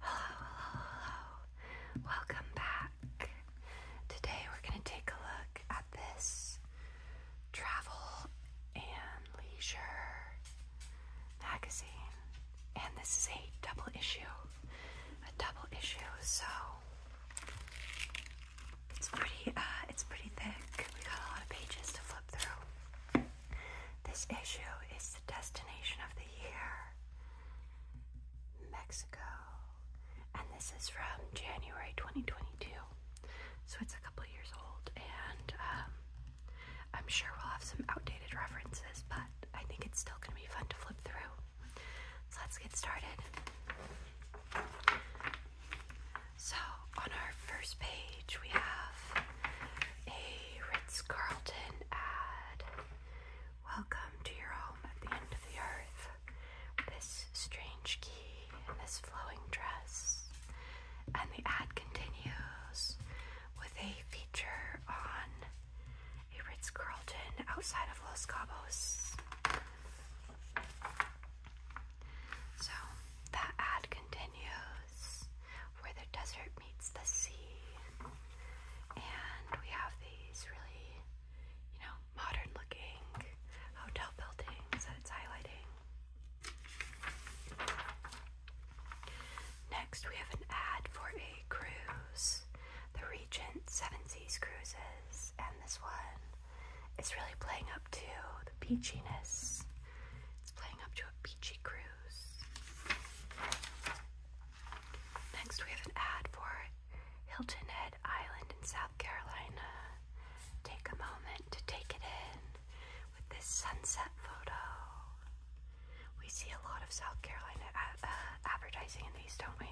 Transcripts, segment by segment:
Hello, hello, hello. Welcome back. Today we're going to take a look at this travel and leisure magazine. And this is a double issue. A double issue, so it's pretty uh, it's pretty thick. We got a lot of pages to flip through. This issue is the destination of the year. Mexico. And this is from January 2022. So it's a couple years old, and um, I'm sure we'll have some outdated references, but I think it's still going to be fun to flip through. So let's get started. So on our first page, we have a Ritz Carlton ad. Welcome to your home at the end of the earth. This strange key and this flowing dress. And the ad continues with a feature on a Ritz Carlton outside of Los Cabos. So that ad continues where the desert meets the sea. And we have these really, you know, modern looking hotel buildings that it's highlighting. Next, we have an ad for a cruise, the Regent Seven Seas Cruises, and this one is really playing up to the peachiness. It's playing up to a beachy cruise. Next, we have an ad for Hilton Head Island in South Carolina. Take a moment to take it in with this sunset photo. We see a lot of South Carolina uh, uh, advertising in these, don't we?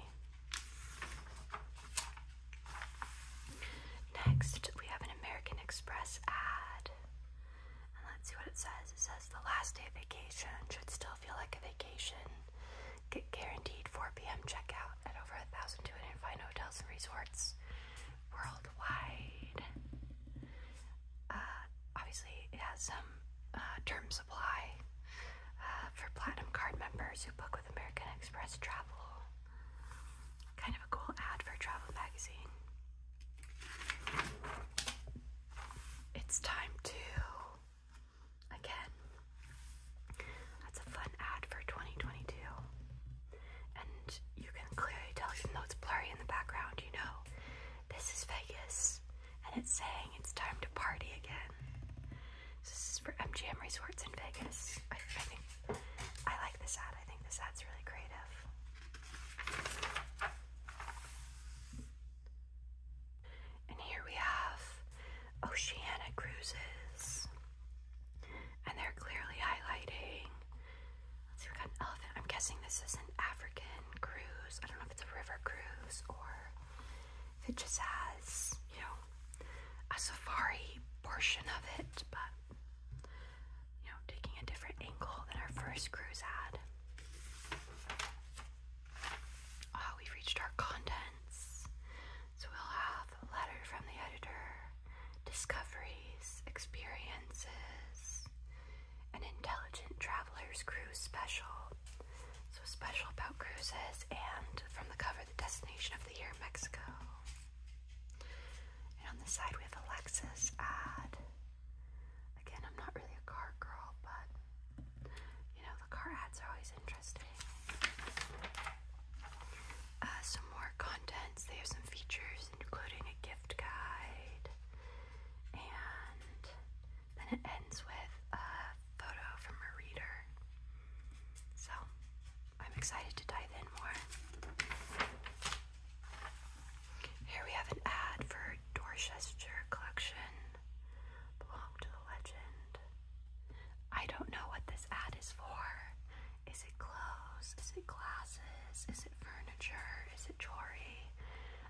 Next, we have an American Express ad. let's see what it says. It says the last day of vacation should still feel like a vacation. Get guaranteed 4 p.m. checkout at over thousand two hundred fine hotels and resorts worldwide. Uh, obviously, it has some uh, term uh, for Platinum Card members who book with American Express Travel. Kind of a cool ad for travel magazine it's time to again. That's a fun ad for 2022. And you can clearly tell, even though it's blurry in the background, you know, this is Vegas. And it's saying it's time to party again. this is for MGM Resorts in Vegas. I, I think I like this ad. I think this ad's really creative. And here we have Oceana Cruises. And they're clearly highlighting. see, we got an elephant. I'm guessing this is an African cruise. I don't know if it's a river cruise or if it just has, you know, a safari portion of it, but you know, taking a different angle than our first cruise had. Ah, we've reached our contents. So we'll have a letter from the editor, discoveries, experiences, an intelligent traveler's cruise special. So special about cruises and from the cover, the destination of the year, Mexico. And on the side we have Alexis ad. Again, I'm not really a car girl, but you know, the car ads are always interesting. Uh, some more contents. They have some features, including a gift guide, and then it ends with a photo from a reader. So I'm excited to dive in more. Here we have an ad for Dorchester collection. Belong to the legend. I don't know what this ad is for. Is it clothes? Is it glasses? Is it furniture? Is it jewelry?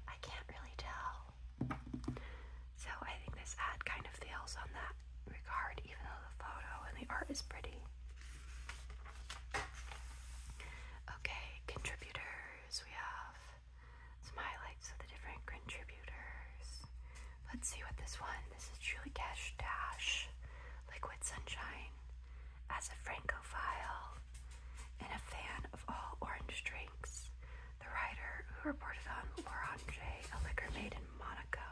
I can't really tell. So I think this ad kind of fails on that regard, even though the photo and the art is pretty. Okay, contributors. We have some of the different contributors. Let's see what this one. This is Julie Cash Dash, Liquid Sunshine, as a Francophile, and a fan of all orange drinks. The writer who reported on L'Orange, a liquor made in Monaco,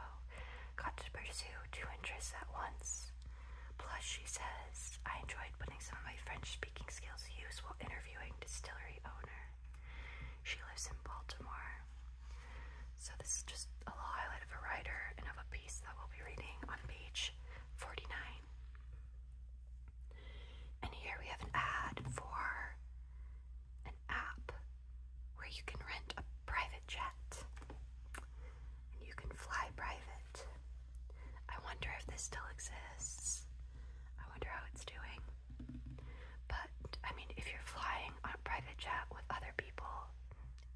got to pursue two interests at once. Plus, she says, I enjoyed putting some of my French speaking skills to use while interviewing distillery owner. She lives in Baltimore. So this is just a little highlight of a writer and of a piece that we'll be reading on page 49. And here we have an ad for an app where you can rent a private jet and you can fly private. I wonder if this still exists. I wonder how it's doing. But, I mean, if you're flying on a private jet with other people,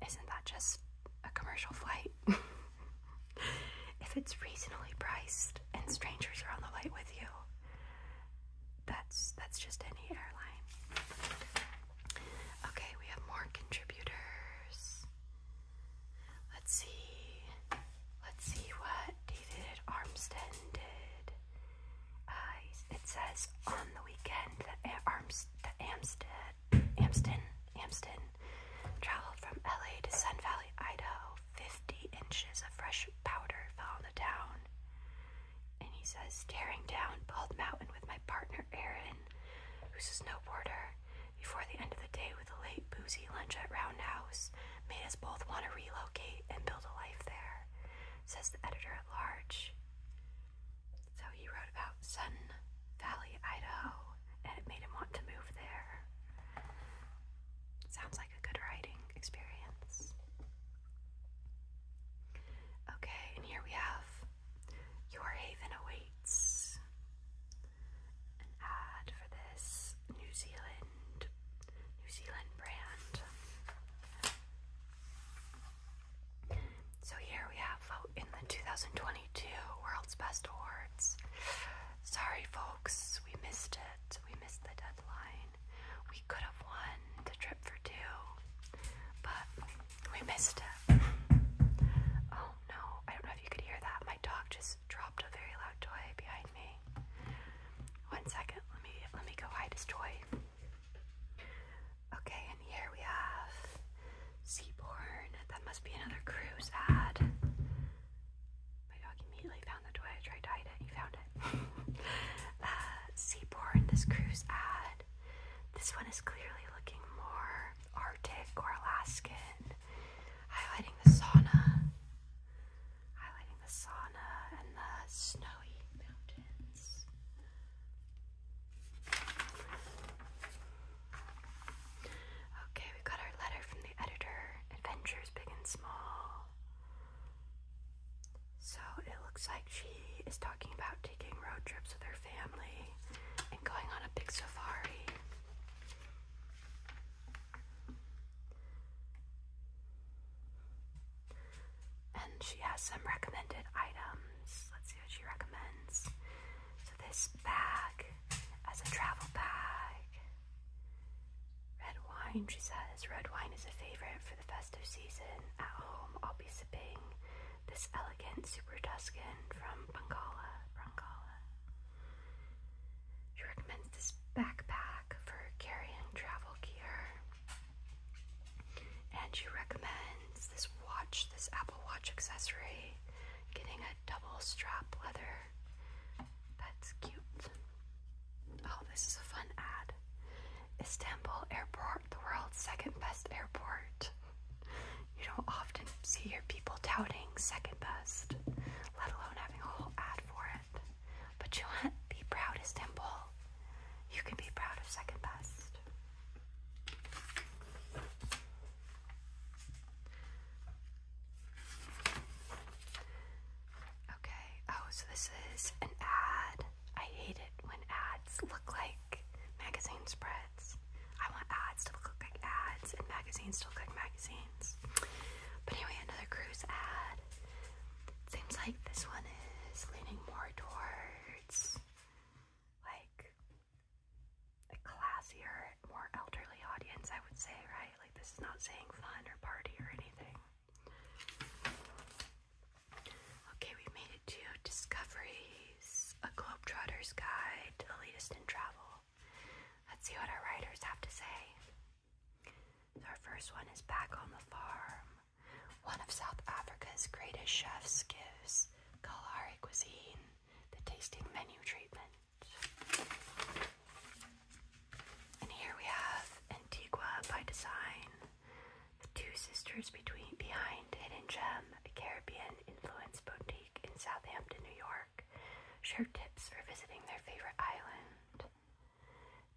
isn't that just a commercial flight? if it's reasonably priced and strangers are on the flight with you, that's that's just any airline. Okay, we have more contributors. Let's see. Let's see what David Armstead did. Uh, it says on the weekend that Arms that Amstead Amston Amston traveled from LA to Sun Valley, Idaho. Fifty inches of fresh powder fell on the town. And he says, tearing down Bald Mountain with my partner Aaron, who's a snowboarder, before the end of the day with a late boozy lunch at Roundhouse made us both want to relocate and build a life there, says the editor at large. So he wrote about Sun Valley, Idaho, and it made him want to move there. Sounds like a good writing experience. Okay, and here we have Your Haven Awaits an ad for this New Zealand New Zealand brand. So here we have in the 2022 World's Best Awards. Sorry folks, we missed it. We missed the deadline. We could have won the trip for two, but we missed it. Oh no, I don't know if you could hear that. My dog just just dropped a very loud toy behind me. One second, let me let me go hide his toy. Okay, and here we have Seaborn. That must be another cruise ad. My dog immediately found the toy. I tried to hide it. He found it. uh, this cruise ad. This one is clearly looking more Arctic or Alaskan, highlighting the sauna highlighting the sauna and the snowy mountains. Okay, we got our letter from the editor. Adventures big and small. So it looks like she is talking about taking road trips with her family and going on a big safari. And she has some recommended items. Let's see what she recommends. So, this bag as a travel bag. Red wine, she says. Red wine is a favorite for the festive season. At home, I'll be sipping this elegant super Tuscan from Bangala. Bangala. She recommends this backpack for carrying travel gear. And she recommends this watch, this Apple Watch accessory, getting a double strap leather. That's cute. Oh, this is a fun ad. Istanbul Airport, the world's second best airport. You don't often see your people touting second best, let alone having a whole ad but you want to be proud as Dimple. You can be proud of second best. Okay, oh, so this is an ad. I hate it when ads look like magazine spreads. I want ads to look like ads and magazines to look like magazines means. But anyway, another cruise ad. seems like this one is leaning more towards like a classier, more elderly audience, I would say, right? Like this is not saying fun or party or anything. Okay, we made it to Discoveries, a Globetrotter's Guide to the Latest in Travel. Let's see what our writers have to say our first one is Back on the Farm. One of South Africa's greatest chefs gives Kalahari cuisine the tasting menu treatment. And here we have Antigua by Design, the two sisters between behind Hidden Gem, a Caribbean influenced boutique in Southampton, New York share tips for visiting their favorite island.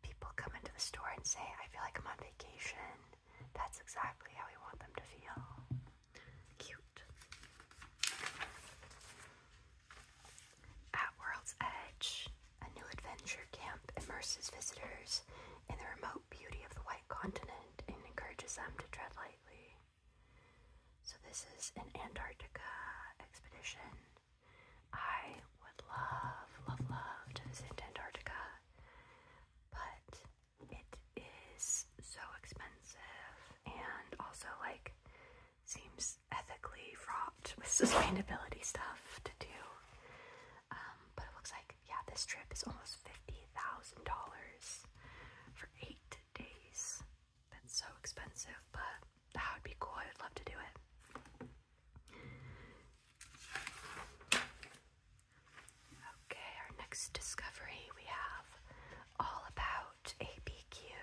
People come into the store and say, I feel like I'm on vacation. That's exactly how we want them to feel. Cute. At World's Edge, a new adventure camp immerses visitors in the remote beauty of the white continent and encourages them to tread lightly. So, this is an Antarctica expedition. I would love, love, love to visit Antarctica, but it is so expensive and also like seems ethically fraught with sustainability stuff to do. Um, but it looks like, yeah, this trip is almost $50,000 for eight days. That's so expensive, but that would be cool. I would love to do it. Okay, our next discovery we have all about ABQ.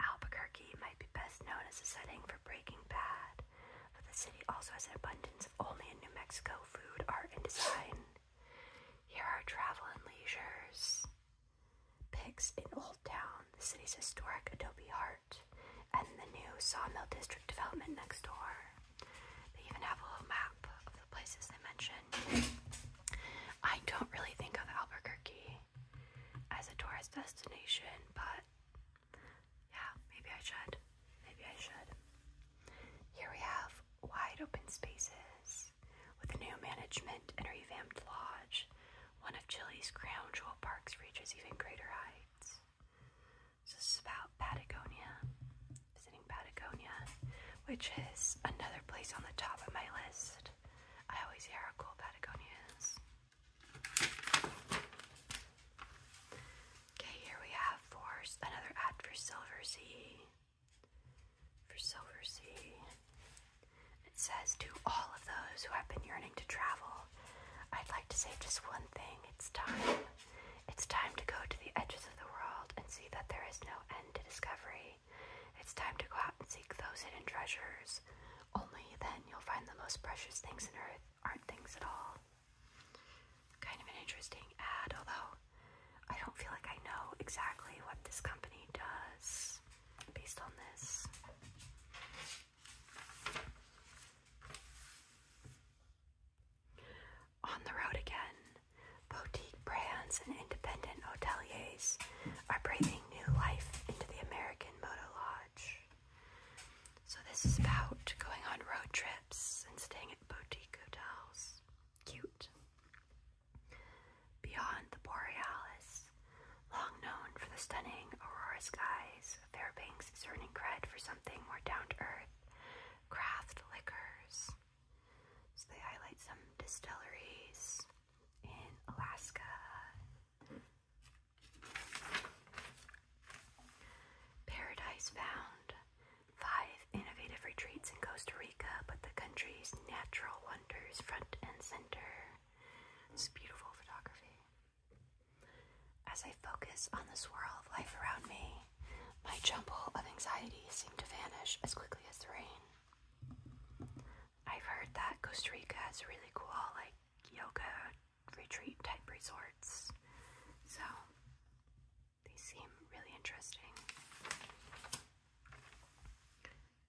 Albuquerque might be best known as a setting for Breaking Bad, but the city also has an abundance of only in New Mexico food, art, and design. Here are travel and leisures, Pics in Old Town, the city's historic adobe heart, and the new Sawmill District development next door. They even have a little map of the places they mention. I don't really think of Albuquerque as a tourist destination, but yeah, maybe I should. Maybe I should. Here we have wide open spaces. Vegas. With new management and revamped lodge, one of Chile's crown jewel parks reaches even greater heights. So this is about Patagonia, visiting Patagonia, which is another place on the top of my list. I always hear how cool Patagonia is. Okay, here we have Force, another ad for Silver Sea. For Silver Sea. It says, To all of those who have been yearning to travel, I'd like to say just one thing. It's time. It's time to go to the edges of the world and see that there is no end to discovery. It's time to go out and seek those hidden treasures. Only then you'll find the most precious things in earth aren't things at all. Kind of an interesting ad, although I don't feel like I know exactly what this company does based on this. On the road again, boutique brands and independent hoteliers are breathing new life into the American Moto Lodge. So, this is about going on road trips and staying at boutique hotels. Cute. Beyond the borealis, long known for the stunning aurora skies, Fairbanks is earning cred for something more down to earth craft liquors. So they highlight some distilleries in Alaska. Paradise found five innovative retreats in Costa Rica, but the country's natural wonders front and center. It's beautiful photography. As I focus on the swirl of life around me, my jumble of anxiety seemed to vanish as quickly as the rain. I've heard that Costa Rica has really cool, like, yoga retreat type resorts. So, they seem really interesting.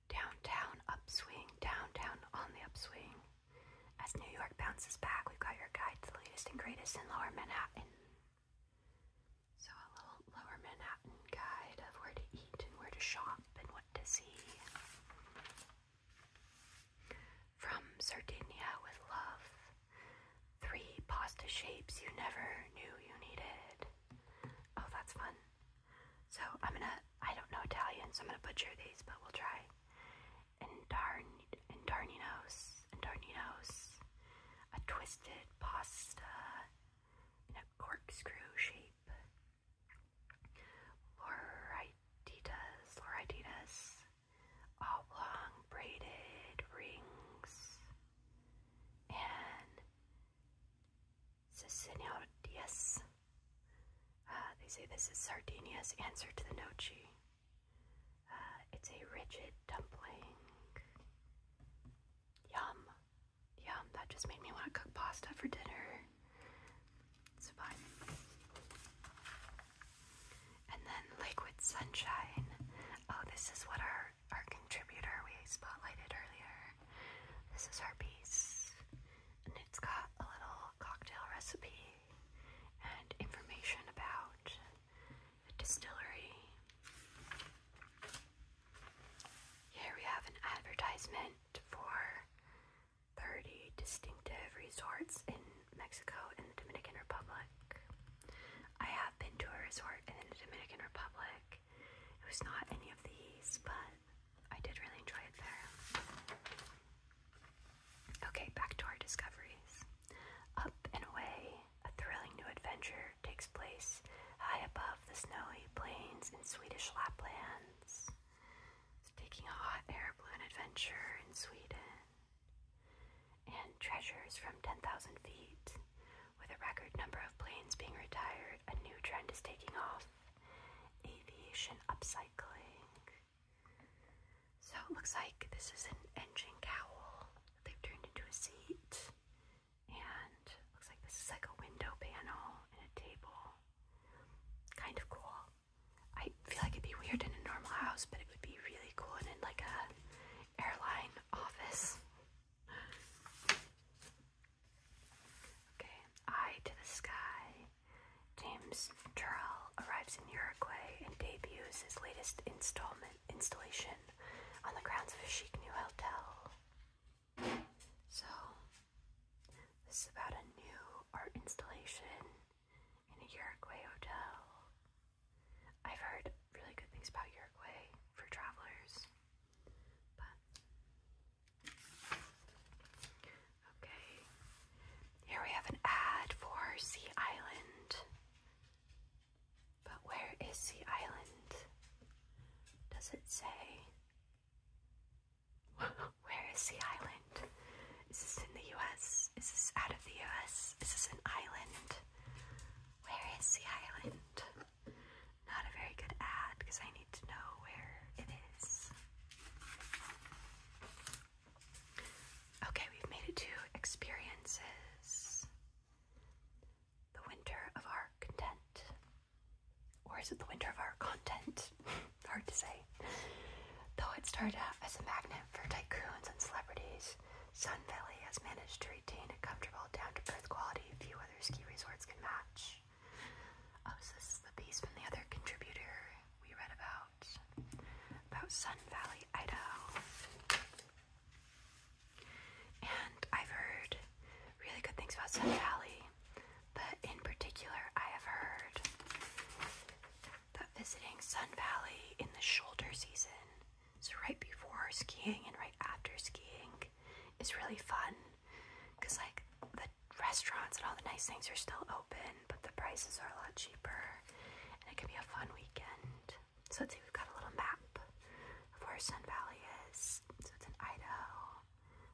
Downtown upswing, downtown on the upswing. As New York bounces back, we've got your guide to the latest and greatest in Lower Manhattan. So, a little Lower Manhattan guide of where to eat and where to shop and what to see. From Sardinia with love. Three pasta shapes you never knew you needed. Oh, that's fun. So I'm gonna, I don't know Italian, so I'm gonna butcher these, but we'll try. And and Indarn, indarninos, indarninos, a twisted pasta in a corkscrew shape. Lorititas, lorititas, oblong braided rings, and says uh, they say this is Sardinia's answer to the nochi. Uh, it's a rigid dumpling. Yum. Yum. That just made me want to cook pasta for dinner. It's fun. And then Liquid Sunshine. Oh, this is what our, our contributor we spotlighted earlier. This is our piece, and it's got a little cocktail recipe and information about the distillery. Here we have an advertisement for 30 distinctive resorts in Mexico and the Dominican Republic. I have been to a resort in the Dominican Republic. It was not any of these, but I did really enjoy it there. Okay, back to our discoveries. Up and away, a thrilling new adventure takes place high above the snowy plains in Swedish Laplands. taking a hot air balloon adventure in Sweden. And treasures from 10,000 feet. With a record number of planes being retired, a new trend is taking off aviation upcycling. So it looks like this is an engine cowl that they've turned into a seat. And looks like this is like a window panel and a table. Kind of cool. I feel like it'd be weird in a normal house, but it would be really cool in like a airline office. Okay, Eye to the Sky. James Charles arrives in Uruguay and debuts his latest installment installation on the grounds of a chic new hotel. So, this is about a new art installation in a Uruguay hotel. I've heard really good things about Uruguay for travelers. But okay, here we have an ad for Sea Island. But where is Sea Island? Does it say? Where is Sea Island? Is this in the US? Is this out of the US? Is this an island? Where is Sea Island? Not a very good ad because I need to know where it is. Okay, we've made it to experiences. The winter of our content. Or is it the winter of our content? Hard to say. Though it started out as a magnet for tycoons and celebrities, Sun Valley has managed to retain a comfortable, down to earth quality few other ski resorts can match. Oh, this is the piece from the other contributor we read about, about Sun Valley, Idaho. And I've heard really good things about Sun Valley, but in particular, I have heard that visiting Sun Valley in the shoulder season, so right before skiing and right after skiing, like is really fun because like the restaurants and all the nice things are still open, but the prices are a lot cheaper and it can be a fun weekend. So let's see, we've got a little map of where Sun Valley is. So it's in Idaho.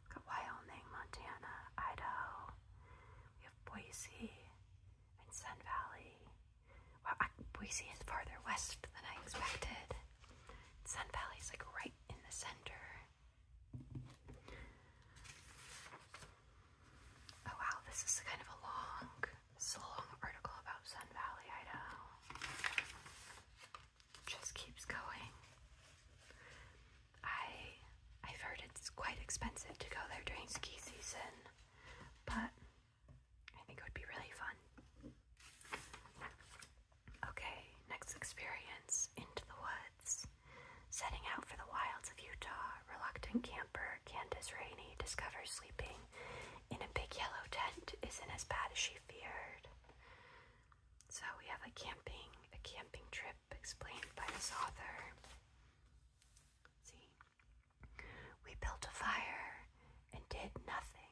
We've got Wyoming, Montana, Idaho. We have Boise and Sun Valley. Wow, Boise is farther west than I expected. Sun Valley's like right in the center. Oh wow, this is kind of a long, it's long article about Sun Valley, Idaho. just keeps going. I I've heard it's quite expensive to go there during ski season, but I think it would be really fun. Okay, next experience Into the Woods. Setting out for the wilds of Utah, reluctant camper Candace Rainey discovers sleeping in a big yellow tent isn't as bad as she feared. So we have a camping, a camping trip explained by this author. see, we built a fire and did nothing.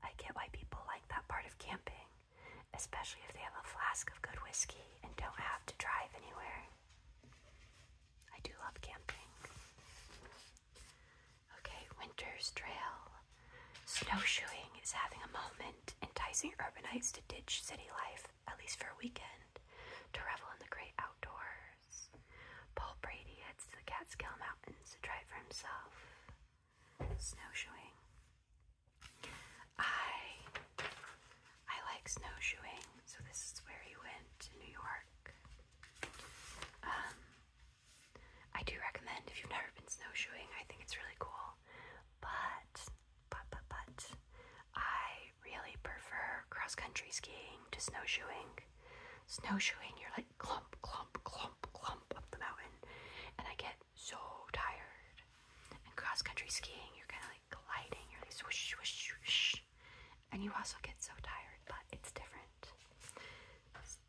I get why people like that part of camping especially if they have a flask of good whiskey and don't have to drive anywhere. I do love camping. Okay, Winter's Trail. Snowshoeing is having a moment, enticing urbanites to ditch city life, at least for a weekend, to revel in the great outdoors. Paul Brady heads to the Catskill Mountains to try it for himself snowshoeing. I I like snowshoeing, so this is where he went to New York. Um, I do recommend if you've never been snowshoeing. I think it's really cool, but but but but I really prefer cross country skiing to snowshoeing. Snowshoeing, you're like clump clump clump clump up the mountain, and I get so tired. And cross country skiing, you're kind of like gliding, you're like swoosh, swoosh, swoosh. And you also get so tired, but it's different.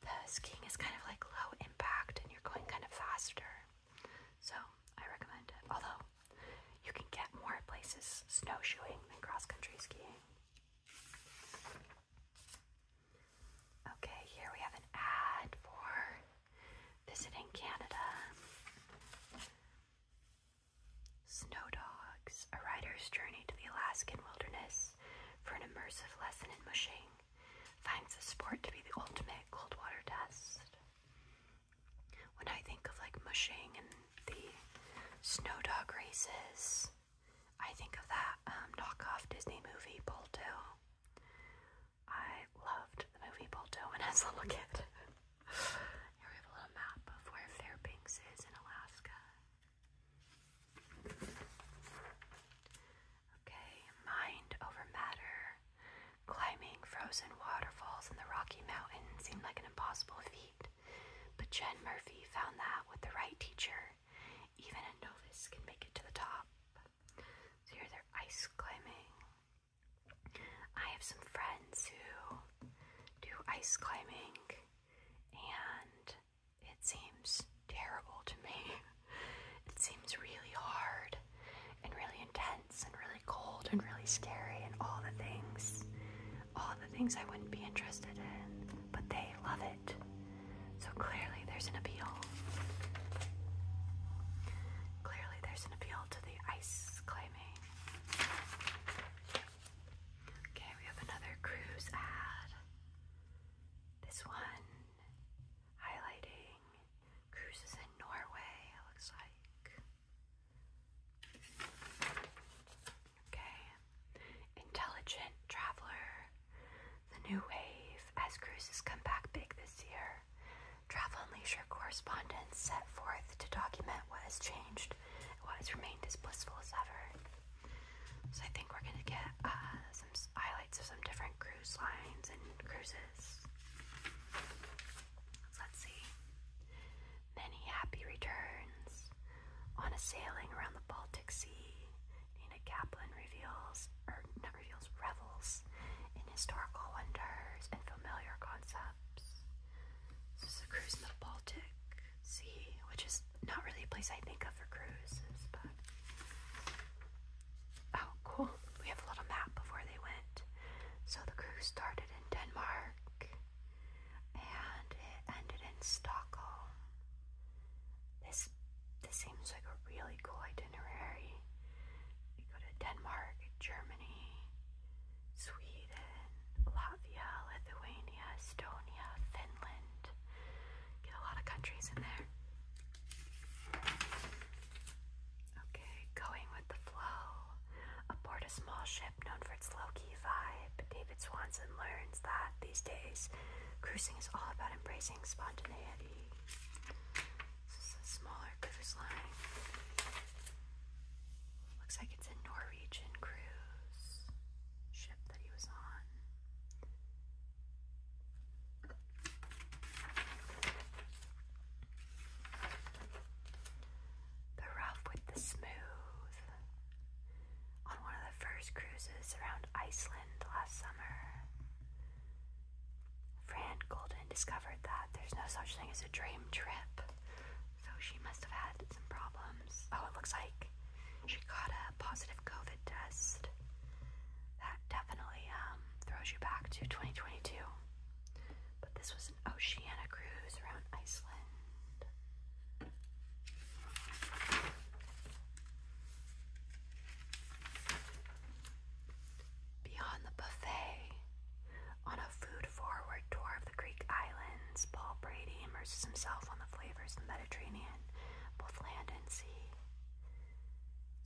The skiing is kind of like low impact and you're going kind of faster. So I recommend it. Although you can get more places snowshoeing than cross country skiing. Okay, here we have an ad for visiting Canada, Snow Dogs, a rider's journey to the Alaskan wilderness for an immersive lesson in mushing, finds the sport to be the ultimate cold water test. When I think of like mushing and the snow dog races, I think of that um, knockoff Disney movie, Balto. I loved the movie Balto when I was a little kid. Here we have a little map of where Fairbanks is in Alaska. Okay, mind over matter. Climbing frozen waterfalls in the Rocky Mountains seemed like an impossible feat, but Jen Murphy found that with the right teacher, even a novice can make it to the top here they're ice climbing. I have some friends who do ice climbing, and it seems terrible to me. It seems really hard and really intense and really cold and really scary and all the things. All the things I wouldn't be interested in, but they love it. So clearly there's an appeal. Clearly there's an appeal to the ice climbing. Okay, we have another cruise ad. This one highlighting cruises in Norway, it looks like. Okay. Intelligent traveler the new wave as cruises come back big this year. Travel and leisure correspondents set forth to document what has changed and what has remained as blissful as ever. So I think we're gonna get uh, some highlights of some different cruise lines and cruises. let's see. Many happy returns on a sailing around the Baltic Sea, Kaplan reveals, or not reveals, revels in historical wonders and familiar concepts. This is a cruise in the Baltic Sea, which is not really a place I think of for cruises, but. Oh, cool. We have a little map of where they went. So the cruise started in Denmark and it ended in Stockholm. This this seems like a really cool idea itinerary. They go to Denmark, Germany, Sweden, Latvia, Lithuania, Estonia, Finland. Get a lot of countries in there. Okay, going with the flow. Aboard a small ship known for its low key vibe, David Swanson learns that these days cruising is all about embracing spontaneity. This is a smaller cruise line. Looks like it's a Norwegian cruise ship that he was on. The rough with the smooth. On one of the first cruises around Iceland last summer, Fran Golden discovered that there's no such thing as a dream trip, so she must have had some problems. Oh, it looks like she got a positive COVID test. That definitely um, throws you back to 2022. But this was an Oceania cruise around Iceland. Beyond the buffet, on a food forward tour of the Greek islands, Paul Brady immerses himself on the flavors of the Mediterranean, both land and sea.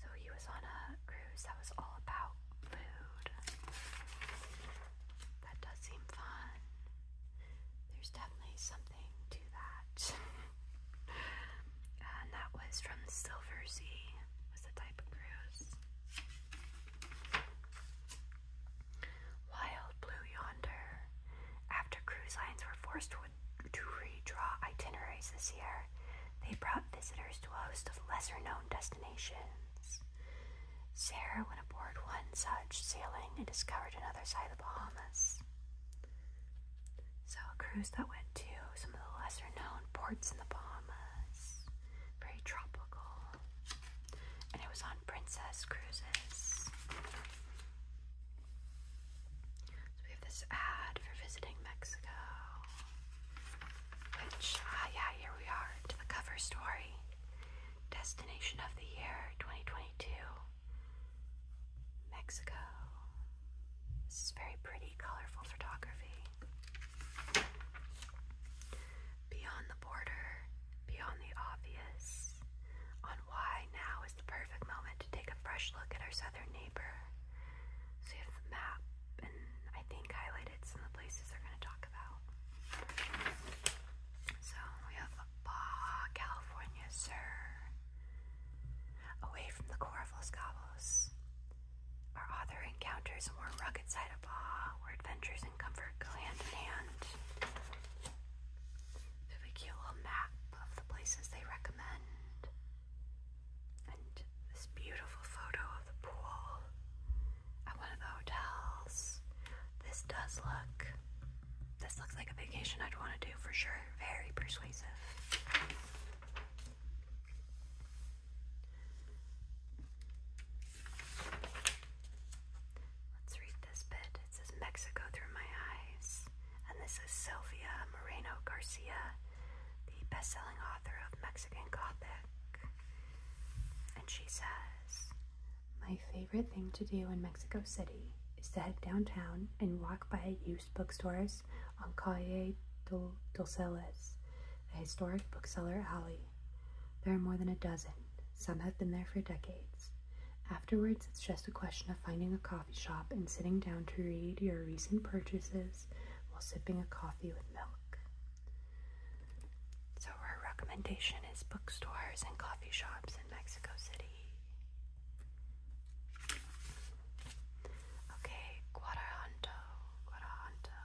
So he was on a cruise that was all about food. That does seem fun. There's definitely something to that. and that was from the Silver Sea, was the type of cruise. Wild Blue Yonder. After cruise lines were forced to, to redraw itineraries this year, they brought visitors to a host of lesser known destinations. Sarah went aboard one such sailing and discovered another side of the Bahamas. So a cruise that went to some of the lesser known ports in the Bahamas, very tropical, and it was on Princess Cruises. So we have this ad for visiting Mexico, which ah yeah here we are to the cover story, destination of the year 2022, Mexico. This is very pretty, colorful photography. Beyond the border, beyond the obvious, on why now is the perfect moment to take a fresh look at our southern neighbor. So have the map, and I think highlighted some of the places they're going to talk about. So we have Baja California Sur, away from the core of our author encounters a more rugged side of awe, where adventures and comfort go hand in hand. They have a little map of the places they recommend, and this beautiful photo of the pool at one of the hotels. This does look. This looks like a vacation I'd want to do for sure. Very persuasive. Let's read this bit. It says Mexico through my eyes. And this is Sylvia Moreno Garcia, the best selling author of Mexican Gothic. And she says, My favorite thing to do in Mexico City is to head downtown and walk by a used." bookstores on Calle do Dulceles, a historic bookseller alley. There are more than a dozen. Some have been there for decades. Afterwards, it's just a question of finding a coffee shop and sitting down to read your recent purchases while sipping a coffee with milk. So, our recommendation is bookstores and coffee shops in Mexico City. Okay, Guadaranto, Guadaranto.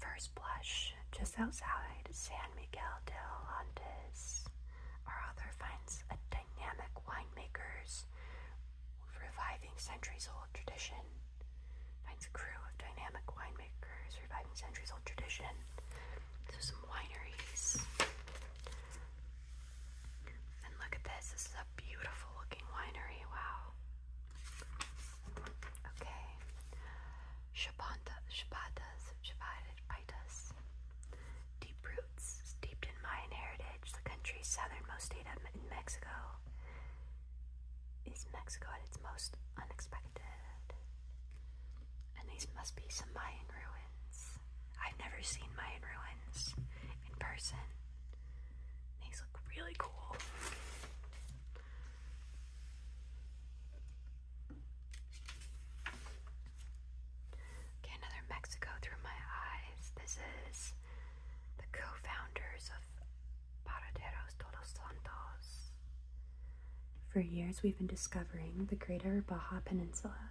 First blush, just outside San Miguel del Andes, our author finds a dynamic winemakers reviving centuries-old tradition. Finds a crew of dynamic winemakers reviving centuries-old tradition. So some wineries. And look at this. This is a beautiful looking winery. Wow. Okay. Shabanta, Shabatas, Shabitas. Deep roots, steeped in Mayan heritage, the country's southernmost state of Mexico is Mexico at its most unexpected. And these must be some Mayan ruins. I've never seen Mayan ruins in person. These look really cool. Okay, another Mexico through my eyes. This is the co of Paraderos Todos Santos. For years, we've been discovering the greater Baja Peninsula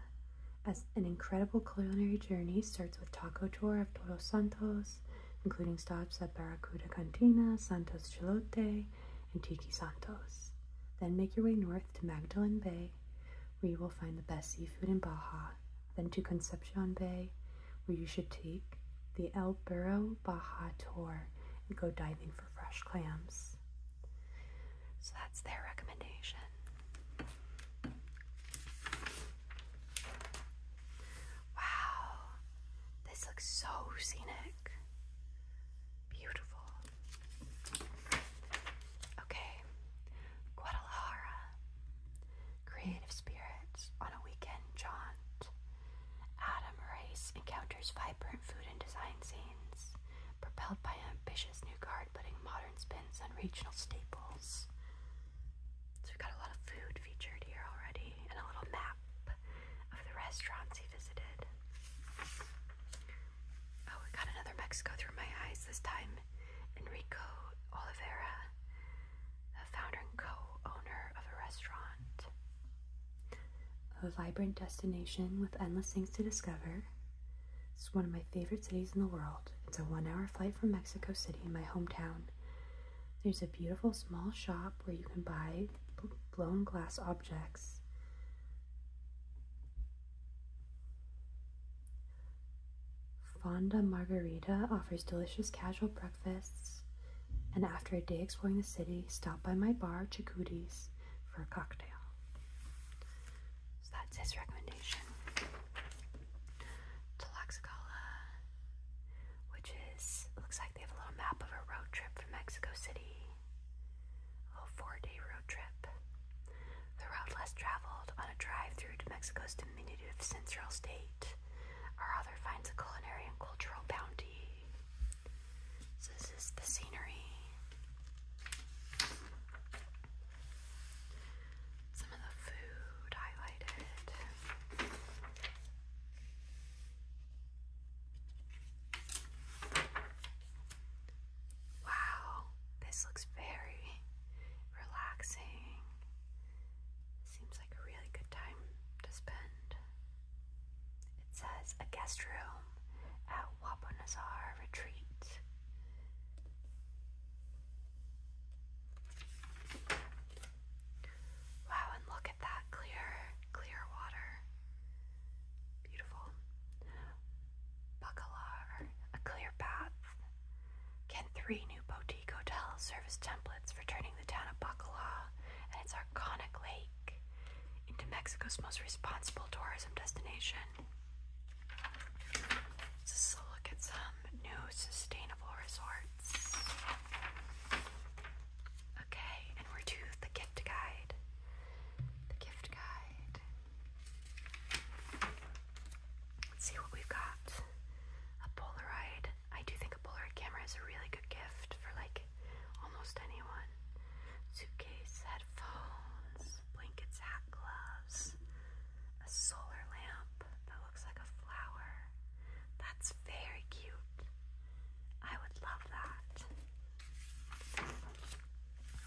as an incredible culinary journey starts with taco tour of Todos Santos, including stops at Barracuda Cantina, Santos Chilote, and Tiki Santos. Then make your way north to Magdalene Bay, where you will find the best seafood in Baja, then to Concepcion Bay, where you should take the El Burro Baja tour and go diving for fresh clams. So that's their recommendation. Wow, this looks so scenic. Beautiful. Okay, Guadalajara. Creative spirits on a weekend jaunt. Adam Race encounters vibrant food and design scenes, propelled by ambitious new card putting modern spins on regional staples. So we've got a lot of food featured here already and a little map of the restaurants he visited. Oh, we got another Mexico through my eyes this time. Enrico Olivera, the founder and co-owner of a restaurant. A vibrant destination with endless things to discover. It's one of my favorite cities in the world. It's a one hour flight from Mexico City, my hometown. There's a beautiful small shop where you can buy blown glass objects. Fonda Margarita offers delicious casual breakfasts, and after a day exploring the city, stop by my bar, Chikuti's, for a cocktail. So that's his recommendation. Tlaxcala, which is, looks like they have a little map of a road trip from Mexico City. A four day road trip. The route less traveled on a drive through Mexico's diminutive central state. Our author finds a culinary and cultural bounty. So this is the scenery some of the food highlighted. Wow, this looks very relaxing. Seems like a really good time to spend. It says a guest room at Wapanazar Retreat. Wow, and look at that clear, clear water. Beautiful. Bacalar, a clear bath. Can three new boutique hotels serve as templates for turning the town of Bacalar and its iconic lake into Mexico's most responsible tourism destination? Just a look at some new sustainable resorts. Okay, and we're to the gift guide. The gift guide. Let's see what we've got. A Polaroid. I do think a Polaroid camera is a really good gift for like almost anyone. Suitcase, headphones, blankets, hat gloves, a solar lamp, that looks like a flower. That's very cute. I would love that.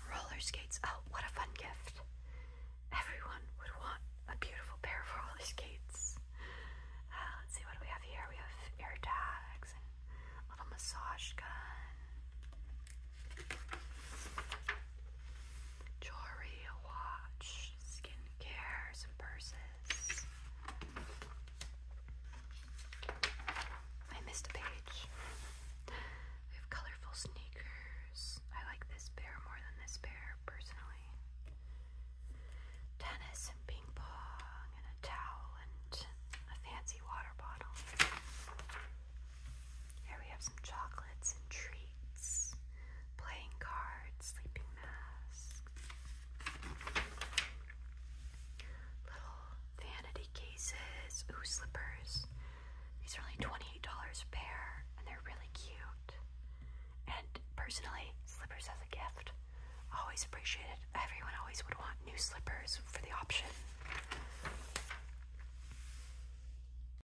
Roller skates. Oh, what a fun gift. Everyone would want a beautiful pair of roller skates. Uh, let's see what do we have here. We have air tags little massage gun jewelry, watch, skincare, some purses. I missed a page. We have colorful sneakers. I like this pair more than this pair personally. Tennis and ping pong and a towel and a fancy water bottle. Here we have some chocolates and treats, playing cards, sleeping masks, little vanity cases, ooh, slippers. These are only $28 a pair, and they're really cute. And personally, slippers as a gift, always appreciated. Everyone always would want new slippers for the option.